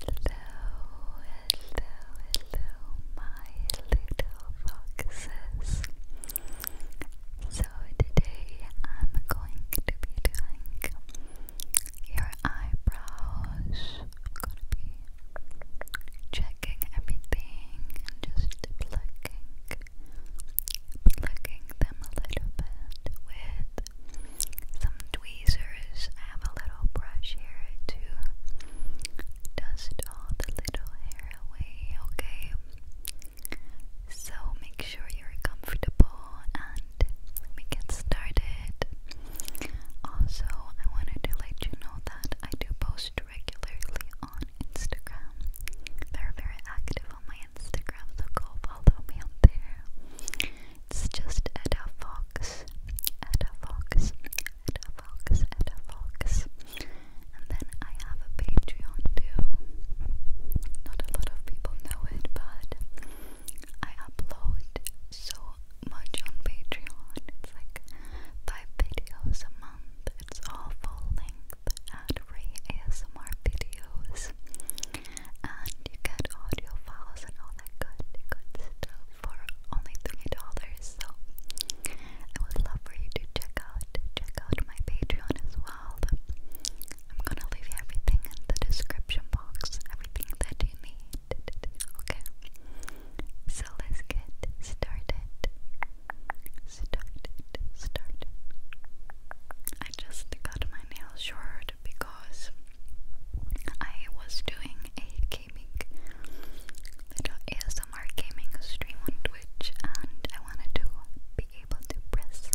Hello, hello, my little foxes. So, today I'm going to be doing your eyebrows. I'm gonna be checking everything just plucking, plucking them a little bit with some tweezers. I have a little brush here to dust all the little hair away, okay? So make sure you're comfortable and we get started. Also, I wanted to let you know that I do post regularly on Instagram. They're very active on my Instagram, so follow me there. It's just a Fox, Etta Fox, Etta Fox, Etta Fox. And then I have a Patreon too. Not a lot of people know it, but I upload so much on Patreon. It's like five videos a month. It's all full length ad free ASMR videos and you get audio files and all that good, stuff for only three dollars. So I would love for you to check out, check out my Patreon as well. I'm gonna leave everything in the description box, everything that you need. Okay, so let's get started. Started, started. I just got my nails short because I was doing a gaming little ASMR gaming stream on Twitch and I wanted to be able to press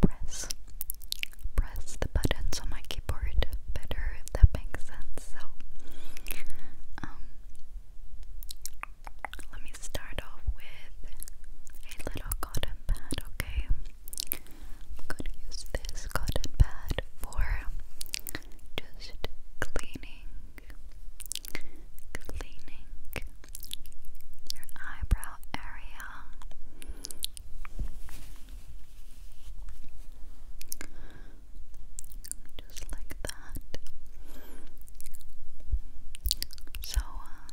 press press the buttons on my keyboard better if that makes sense. So um, let me start off with a little cotton pad, okay? I'm going to use this cotton pad for just cleaning, cleaning your eyebrow area. Just like that. So, uh,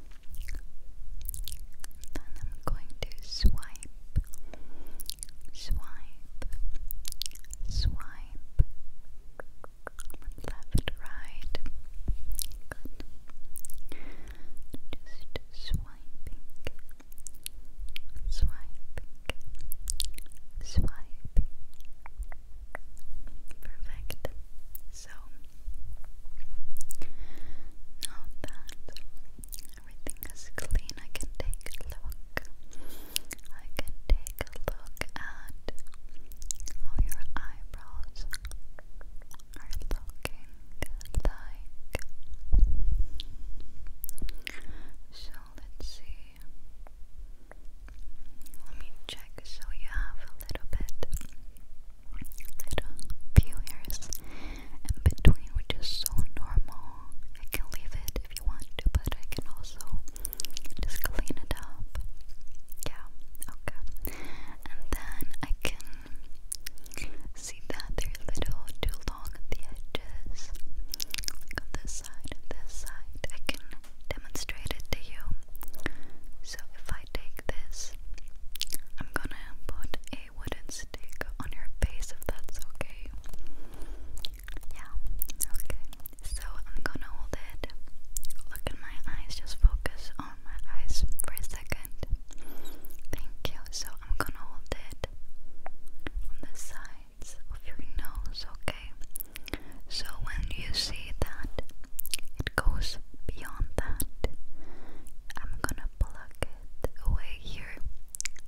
Then I'm going to swipe, swipe, swipe. Left, right. Just swiping, swiping, swiping. Perfect. So now that everything is clean, I can take a look. I can take a look at how your eyebrows are looking like. So let's see. Let me check so you have a little bit little few hairs in between, which is so normal. I can leave it if you want to, but I can also just clean it up. Yeah, okay. And then I can see that they're a little too long at the edges, this side this side. I can demonstrate it to you. So if I I take this, I'm gonna put a wooden stick on your face if that's okay. Yeah, okay. So I'm gonna hold it. Look at my eyes, just focus on my eyes for a second. Thank you. So I'm gonna hold it on the sides of your nose, okay? So when you see that it goes beyond that. I'm gonna plug it away here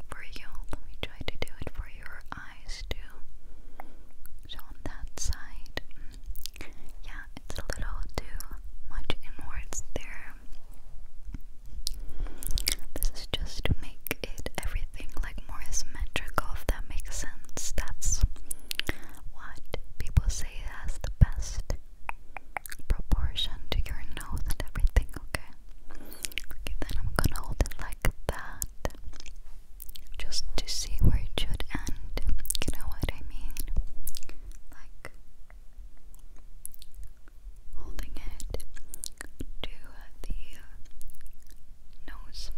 for you. Let me try to do it for your eyes too. So on that side, yeah, it's a little too much inwards there. This is just to make it everything like more symmetrical, if that makes sense. That's what people say as the best proportion to your nose and everything, okay? Okay, then I'm gonna hold it like that just to see where it should end. You know what I mean? Like holding it to the uh, nose,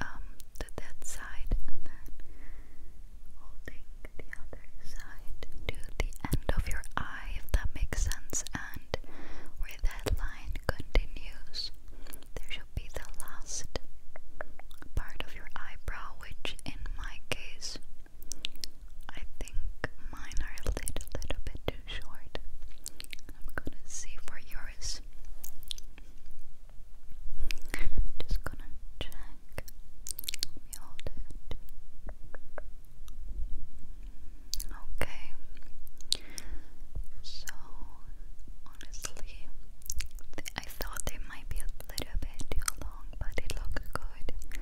um, to that side, holding the other side to the end of your eye, if that makes sense, and where that line continues, there should be the last part of your eyebrow, which in my case, I think mine are a little, bit too short. I'm gonna see for yours. Just gonna check. Okay. So honestly, I thought they might be a little bit too long, but it looks good.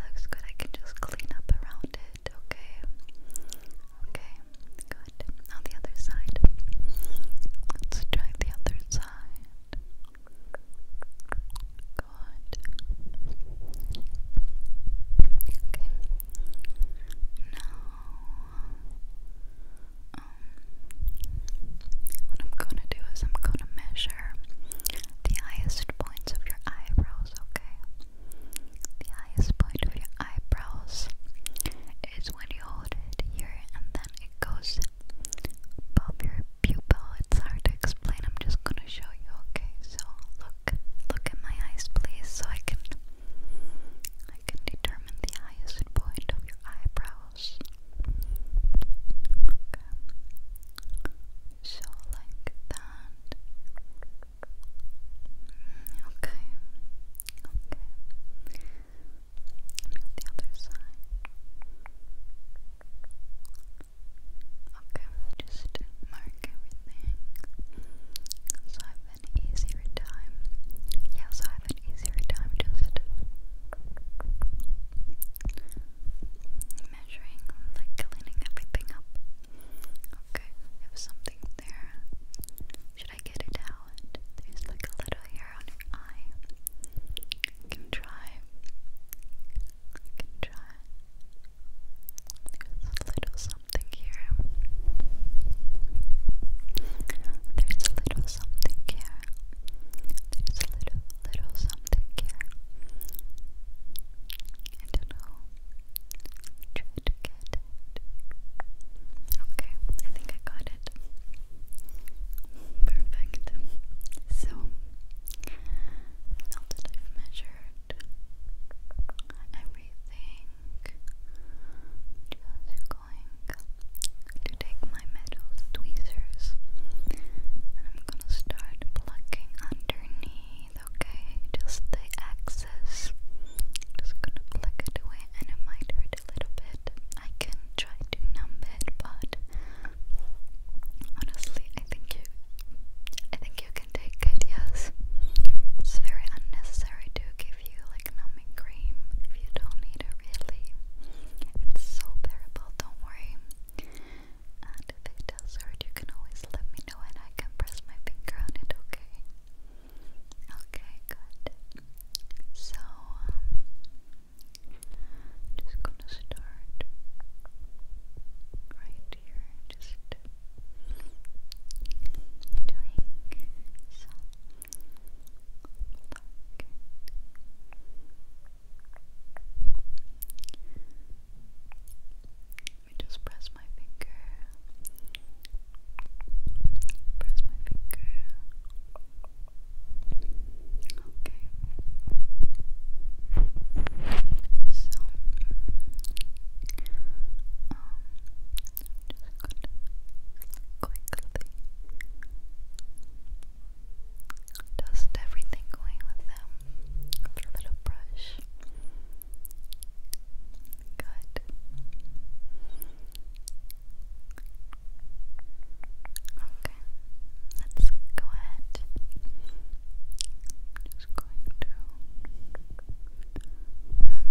Looks good. I can just clean up around it. Okay. Okay. Good. Now the other side. Let's try the other side. Okay. Now, um, what I'm gonna do is I'm gonna measure the highest points of your eyebrows, okay? The highest point of your eyebrows is when you hold it here and then it goes above your pupil. It's hard to explain. I'm just gonna show you. Okay, so look, look at my eyes, please, so I can, I can determine the highest point of your eyebrows. Okay, so like that. Mm, okay, okay. Melt the other side. Okay, just mark everything. So I have an easier time. Yeah, I have an easier time just measuring, like cleaning everything up. Okay, I something there. Should I get it out? There's like a little hair can try. can try. There's a little something here. There's a little something here. There's a little, little something here. I don't know. Try to get it. Okay, I think I got it it. Perfect. So now measured everything, just going to take my metal tweezers and I'm gonna start plucking underneath, okay? Just the excess. Just gonna pluck it away and it might hurt a little bit. I can try to numb it, but honestly, I think you, I think you can take it. Yes, it's very unnecessary to give you like numbing cream if you don't need it. Really, it's so bearable. Don't worry. And if it does hurt, you can always let me know, and I can press my finger on it. Okay. Okay, good. So, um, just gonna start right here, just doing some Let me just press my finger Press my finger. Okay. So, just gonna quickly dust everything going with them with little brush. Good. Okay, let's go ahead. I'm just going to pluck, pluck, pluck, pluck.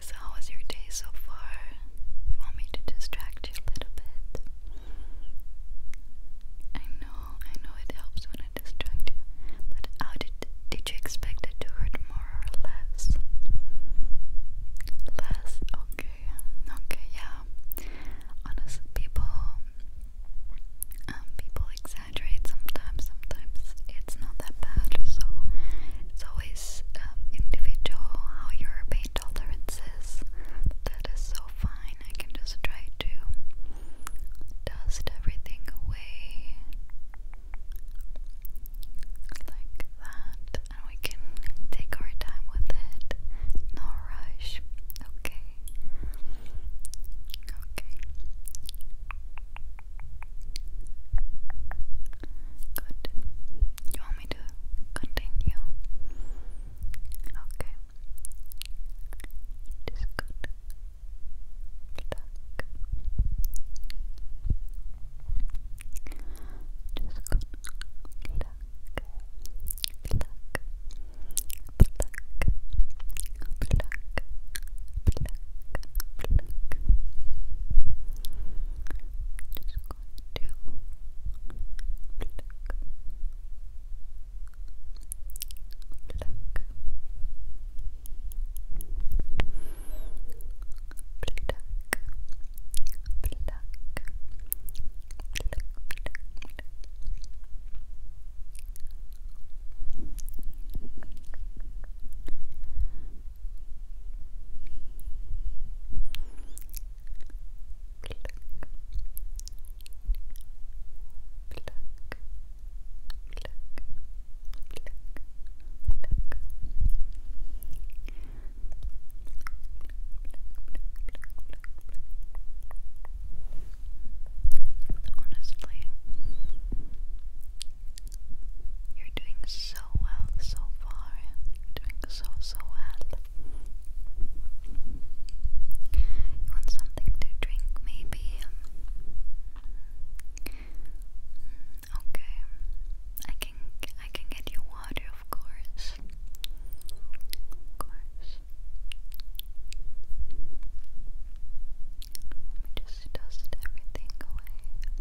So how was your day so far? You want me to distract you a little bit? I know, I know it helps when I distract you. But how did did you expect it to hurt more or less? Less, okay. Okay, yeah. Honestly people um, people exaggerate sometimes, sometimes it's not that bad, so it's always um, individual how your pain tolerance that is so fine. I can just try to dust everything away like that, and we can take our time with it. No rush. Okay. Okay. Good. You want me to continue? Okay. It is good. Stuck. Just good. Pluck. Pluck. Pluck. Pluck. Pluck. Pluck just going to pluck, pluck, pluck. Pluck, pluck, pluck, pluck. Honestly, you're doing so well so far. doing so, so well. You want something to drink, maybe? Mm, okay. I can I can get you water, of course. Of course. Let me just dust everything away.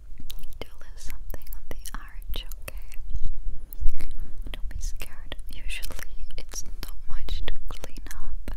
do a something on the arch, okay? Don't be scared. Usually it's not much to clean up, but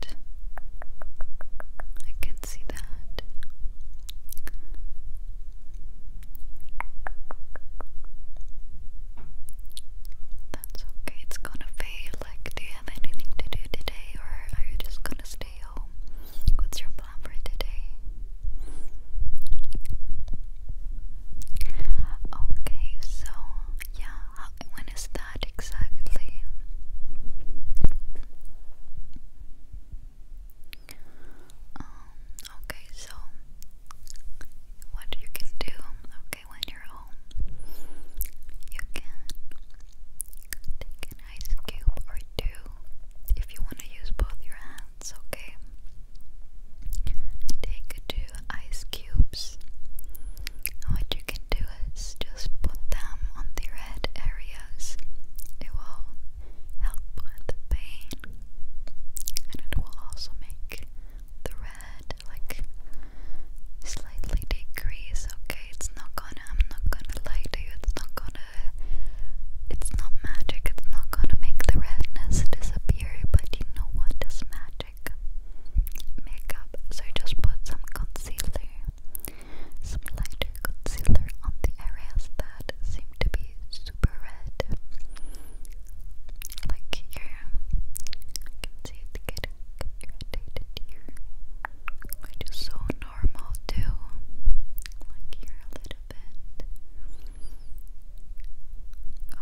that. I can see that. That's okay. It's gonna fade. Like, do you have anything to do today, or are you just gonna stay home? What's your plan for today? Okay, so yeah, when is that exactly? Um, okay, so what you can do, okay, when you're home, you can take an ice cube or two if you want to use both your hands, okay? Take two ice cubes. What you can do is just put them on the red areas. It will help with the pain and it will also make the red like slightly decrease, okay? It's not gonna I'm not gonna lie to you, it's not gonna it's not magic, it's not gonna make the redness disappear, but you know what is magic? makeup. So just put some concealer, some concealer on the areas that seem to be super red. Like here, you can see it getting so normal too. Like here a little bit.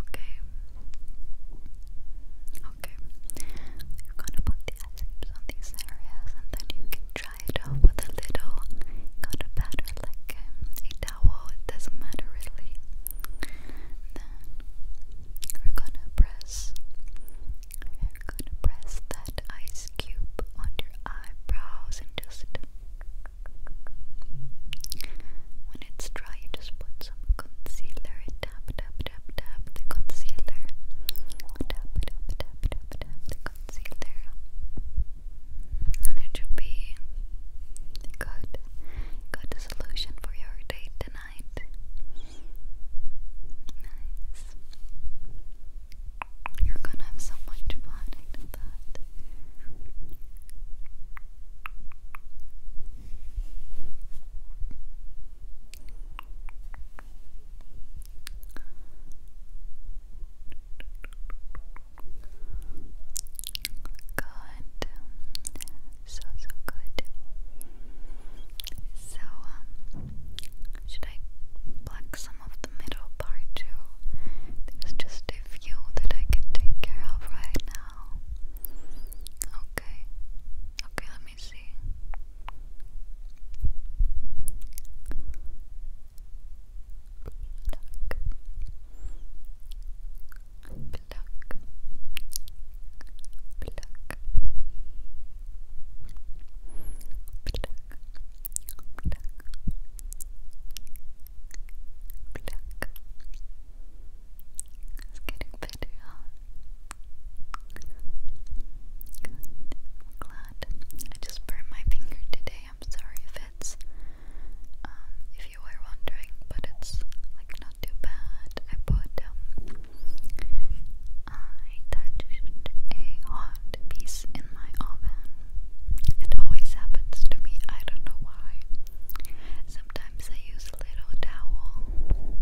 Okay, Okay, you're gonna put the essays on these areas and then you can it off with a little got a batter like um, a towel, it doesn't matter really. Then we're gonna press we're gonna press that ice cube on your eyebrows and just when it's dry you just put some concealer and tap tap tap, tap the concealer. Tap, tap, tap, tap, tap the concealer. And it should be good, good solution for your day tonight. Nice. You're gonna have so much fun, I that. Good. So, so good. So, um, should I pluck some of the middle part too? There's just a few that I can take care of right now. Okay. Okay, let me see. Pluck. Pluck. Pluck. Pluck. Pluck. Pluck. It's getting glad. I just burned my finger today. I'm sorry if um, if you were wondering, but it's like not too bad. I put, um, I touched a hot piece in my oven. It always happens to me. I don't know why. Sometimes I use a little towel.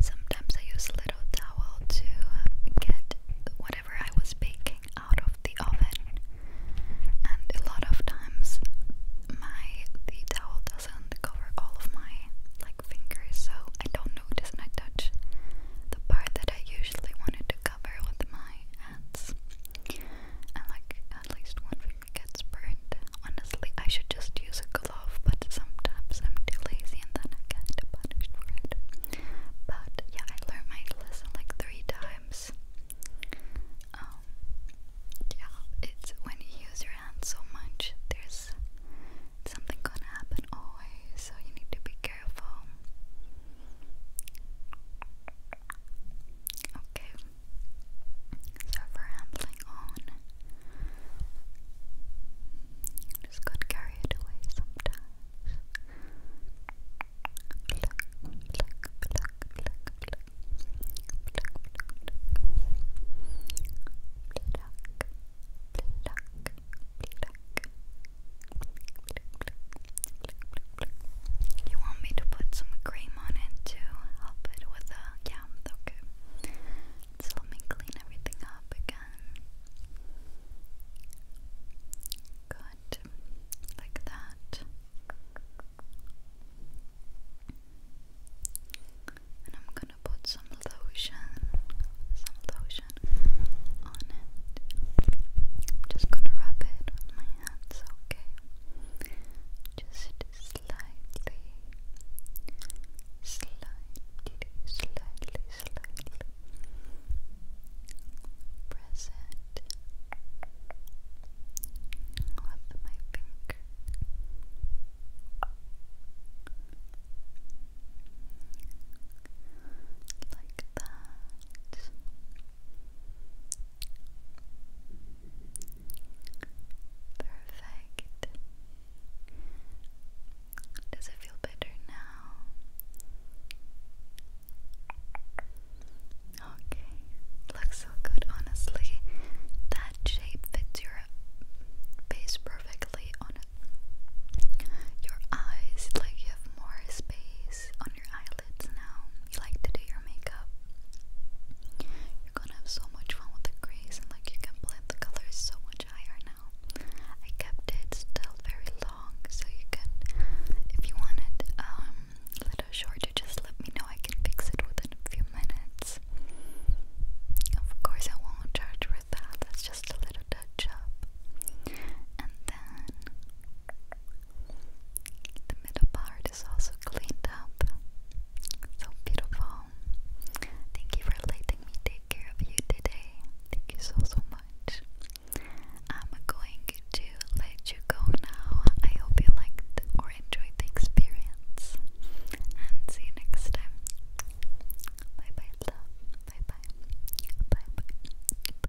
Sometimes I use a little towel to get whatever I was baking out of the oven. And a lot of times my the towel doesn't cover all of my like fingers, so I don't notice and I touch the part that I usually wanted to cover with my hands. like at least one gets burned. Honestly, I should just use a glove, but sometimes I'm too lazy and then I get punished for it. But yeah, I learned my lesson like three times. Um, yeah, it's when you use your hands so much, there's something gonna happen always, so you need to be careful. Okay, so for rambling on, just got carried away sometimes. You want me to put some cream on it to help it with the. Yeah, okay. So let me clean everything up again. Good. Like that. And I'm gonna put some lotion, some lotion on it. I'm just gonna rub it with my hands, okay? just slightly, slightly, slightly, slightly present with my finger. Like that. Perfect. Does it feel better now? Okay, looks so good, honestly. That shape fits your face perfectly on Your eyes, like you have more space on your eyelids now. You like to do your makeup. You're gonna have so much fun with the crease, and like you can blend the colors so much higher now. I kept it still very long, so you can, if you want um, a little shorter, just let me know. I can fix it within a few minutes. Of course, I won't charge with that. That's just a little touch up, and then the middle part is also cleaned up. So beautiful. Thank you for letting me take care of you today. Thank you so, so much. I'm going to let you go now. I hope you liked or enjoyed the experience. And see you next time. Bye bye, love. Bye bye. Bye bye.